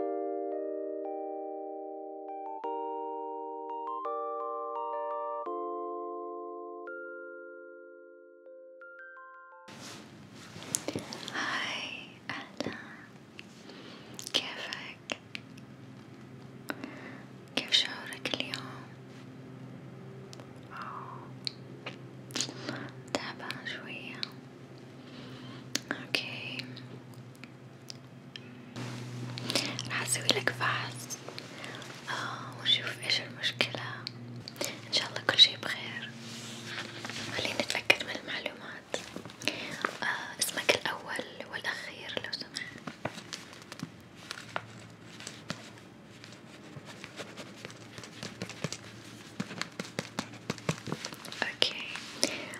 هاي أهلا كيفك؟ كيف شعورك اليوم؟ تعبان شوية اوكي راح اسويلك فحص آه ونشوف ايش المشكلة ان شاء الله كل شي بخير خلينا نتأكد من المعلومات آه اسمك الاول والاخير لو سمحت اوكي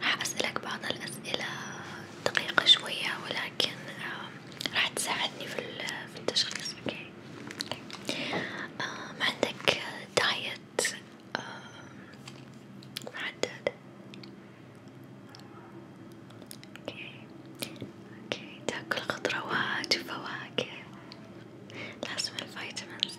راح أسألك بعض الأسئلة دقيقة شوية ولكن راح تساعدني في التشخيص أوكي ما عندك دايت محدد أوكي أوكي تاكل خضروات وفواكه لازم الفيتامينز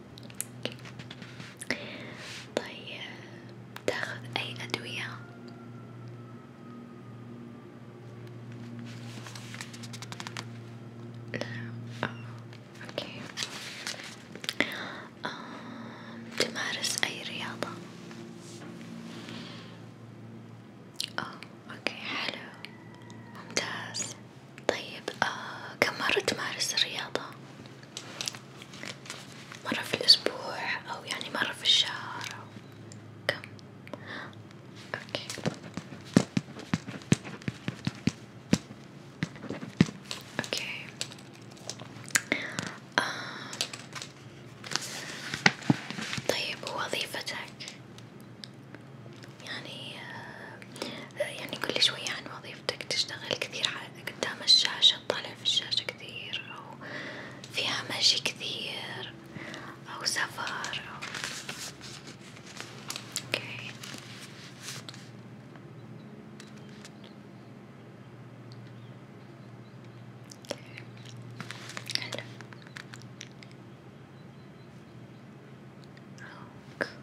طيب تاخذ أي أدوية؟ لا أوكي آه، تمارس أي رياضة؟ أوه، أوكي حلو ممتاز طيب آه كم مرة تمارس الرياضة؟ مرة في الأسبوع أو يعني مرة في الشهر أو كم؟ أوكي أوكي آه. طيب ووظيفتك؟ يعني آه يعني كل شوية عن يعني وظيفتك. يفتك تشتغل كثير قدام الشاشة تطالع في الشاشة كثير أو فيها مشي كثير أو سفر أو أوكي حلو أوك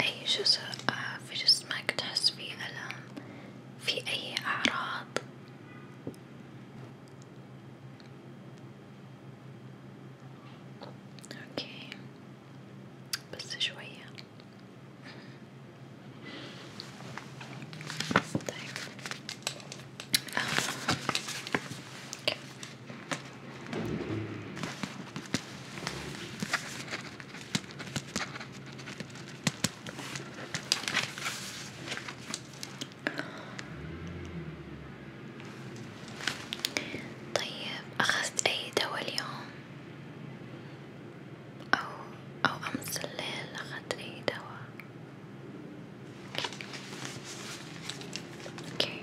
أي جزء آه، في جسمك تحس فيه ألم في أي أعراض؟ أوكي بس شوية طيب. آه. طيب أخذت أي دواء اليوم؟ أو أو أمس الليل أخذت أي دواء؟ اوكي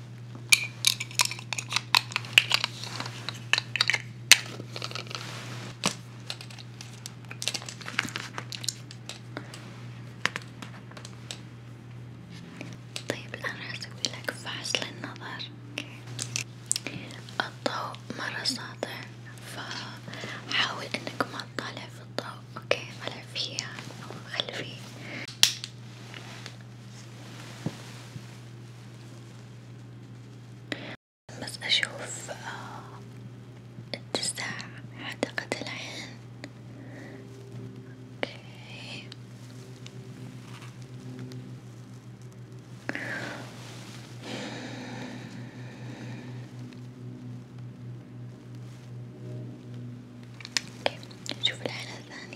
طيب الآن حسوي لك فحص للنظر الضوء مرة ساطع فحاول انك ما تطالع في الضوء اوكي طلع فيها نور يعني، خلفي بس اشوف آه، اتساع حدقة العين اوكي اوكي نشوف العين الثانية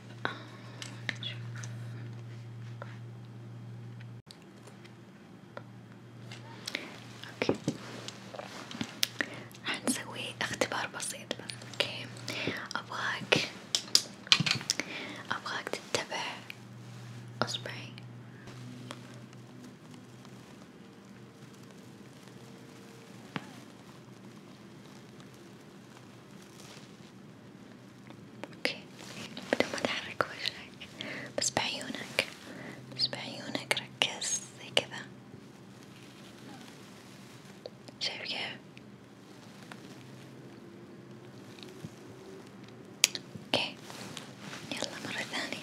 طيب نشوف اوكي حنسوي اختبار بسيط بس اوكي ابغاك ابغاك تتبع اصبعي اوكي بدون ما تحرك وجهك بس بعيونك بس بعيونك ركز زي كذا شايف كيف اوكي يلا مرة ثانية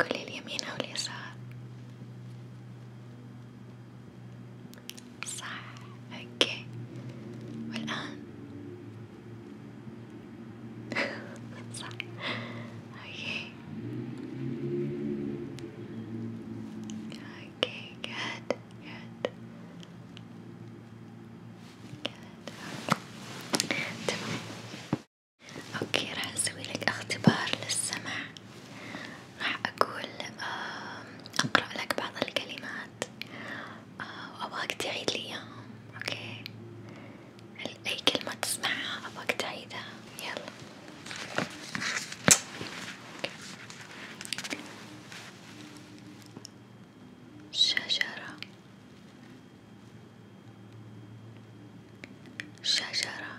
كل اليمين أو اليسار صح اوكي والآن صح اوكي اوكي جاد جاد جاد تمام اوكي راح اسوي لك اختبار للسمع راح اقول اقرأ لك بعض الكلمات وابغاك آه، تعيد لي اياهم اوكي اي كلمة تسمعها ابغاك تعيدها يلا شجرة شجرة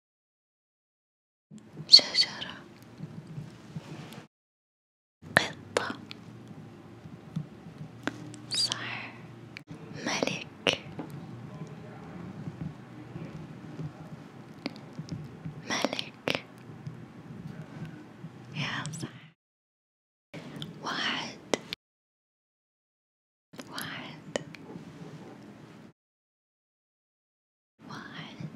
شجرة قطة صح ملك ملك يا صح واحد واحد واحد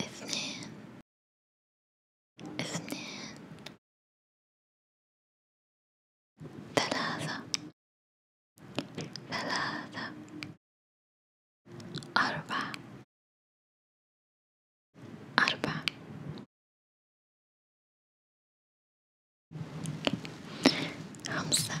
اثنين اثنين ثلاثة ثلاثة أربعة أربعة خمسة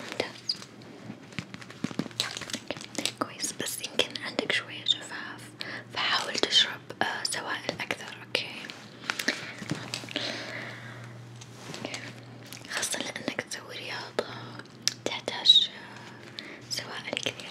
ممتاز كويس بس يمكن عندك شوية جفاف فحاول تشرب سوائل أكثر أوكي خاصة لأنك تسوي رياضة تحتاج سوائل كثير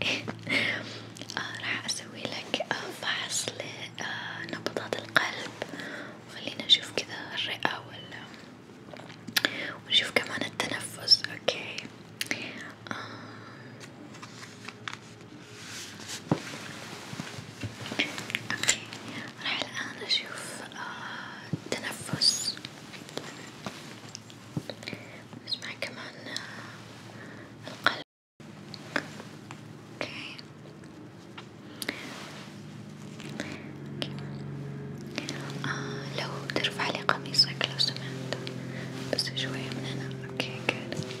آه راح أسوي لك آه، فحص لنبضات آه، القلب وخلينا نشوف كذا الرئة ولا ونشوف كمان التنفس أوكي آه. أوكي راح الآن أشوف آه التنفس نسمع كمان آه، القلب اوكي آه uh, لو ترفع لي قميصك لو سمحت بس شوية من هنا اوكي جود اوكي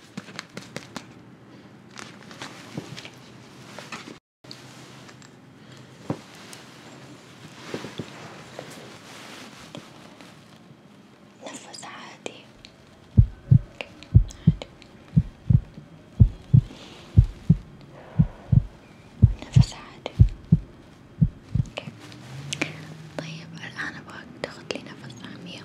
نفس عادي عادي نفس عادي اوكي طيب الآن أبغاك تاخد لي نفس عميق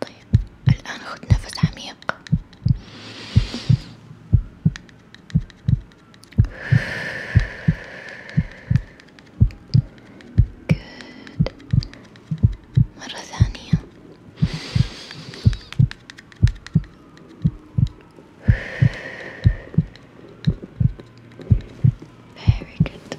طيب الآن خذ نفس عميق جود مرة ثانية Very good.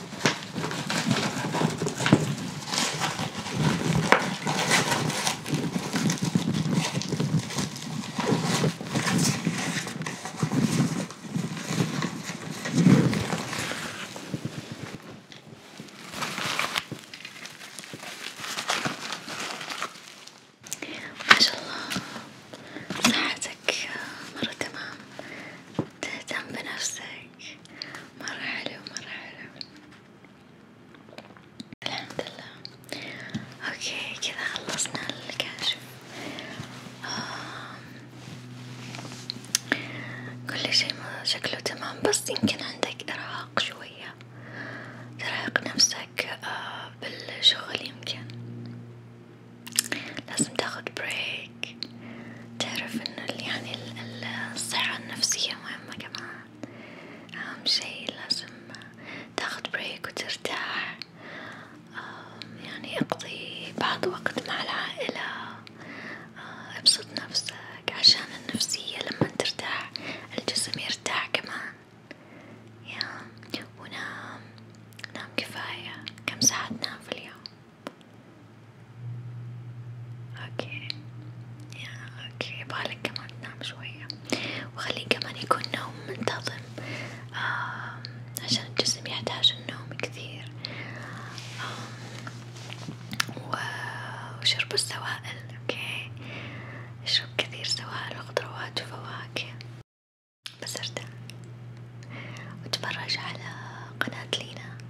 ما شاء الله صحتك مرة تمام تهتم بنفسك مرة حلو مرة حلو الحمد اوكي كذا خلصنا الكاشف كل شي شكله تمام بس يمكن عندك ارهاق شوية ترهق نفسك آه، بالشغل يمكن لازم تاخد بريك عليك تعرف إنه يعني الصحة النفسية مهمة كمان أهم شي لازم تاخد بريك وترتاح يعني اقضي بعض وقت مع العائلة ابسط نفسك عشان النفسية لما ترتاح الجسم يرتاح كمان يا ونام نام كفاية كم ساعة تنام في اليوم اوكي يا اوكي يبغالك كمان تنام شوية وخليه كمان يكون نوم منتظم آه عشان الجسم يحتاج النوم كثير آه وشرب السوائل اوكي اشرب كثير سوائل وخضروات وفواكه بس ارتاح وتفرج على قناة لينا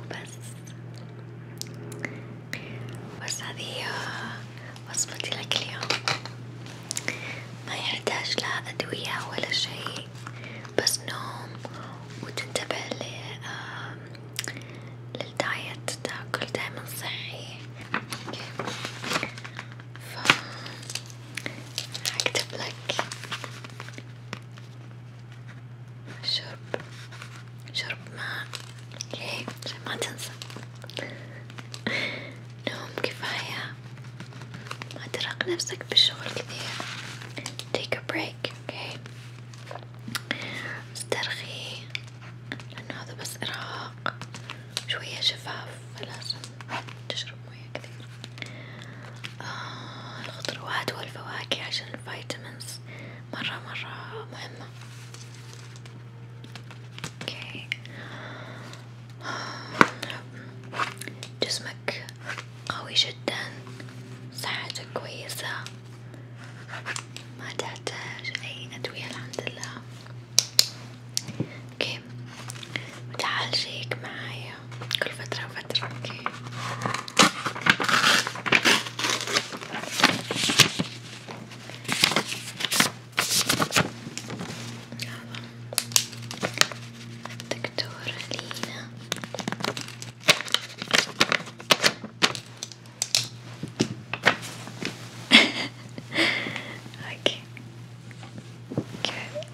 وبس بس هذه آه، وصفتي لك اليوم ما يحتاج لا أدوية ولا شيء بس نوم وتنتبه للدايت تاكل دايما صحي ف هكتب لك شرب شرب ماء اوكي عشان ما تنسى نوم كفاية ما ترهق نفسك بالشغل كثير take a break اوكي استرخي لأنه هذا بس إرهاق شوية شفاف فلازم تشرب مية كثير آه الخضروات والفواكه عشان الفيتامينز مرة مرة مهمة اوكي جسمك قوي جدا صحتك كويسة ما تحتاج أي أدوية الحمد لله اوكي وتعال شيك معايا كل فترة وفترة اوكي الدكتورة لينا اوكي اوكي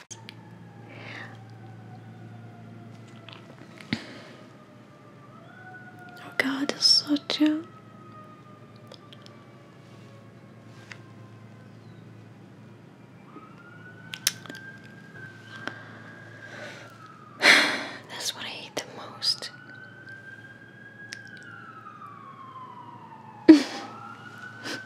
Oh God, it's so true. That's what I hate the most.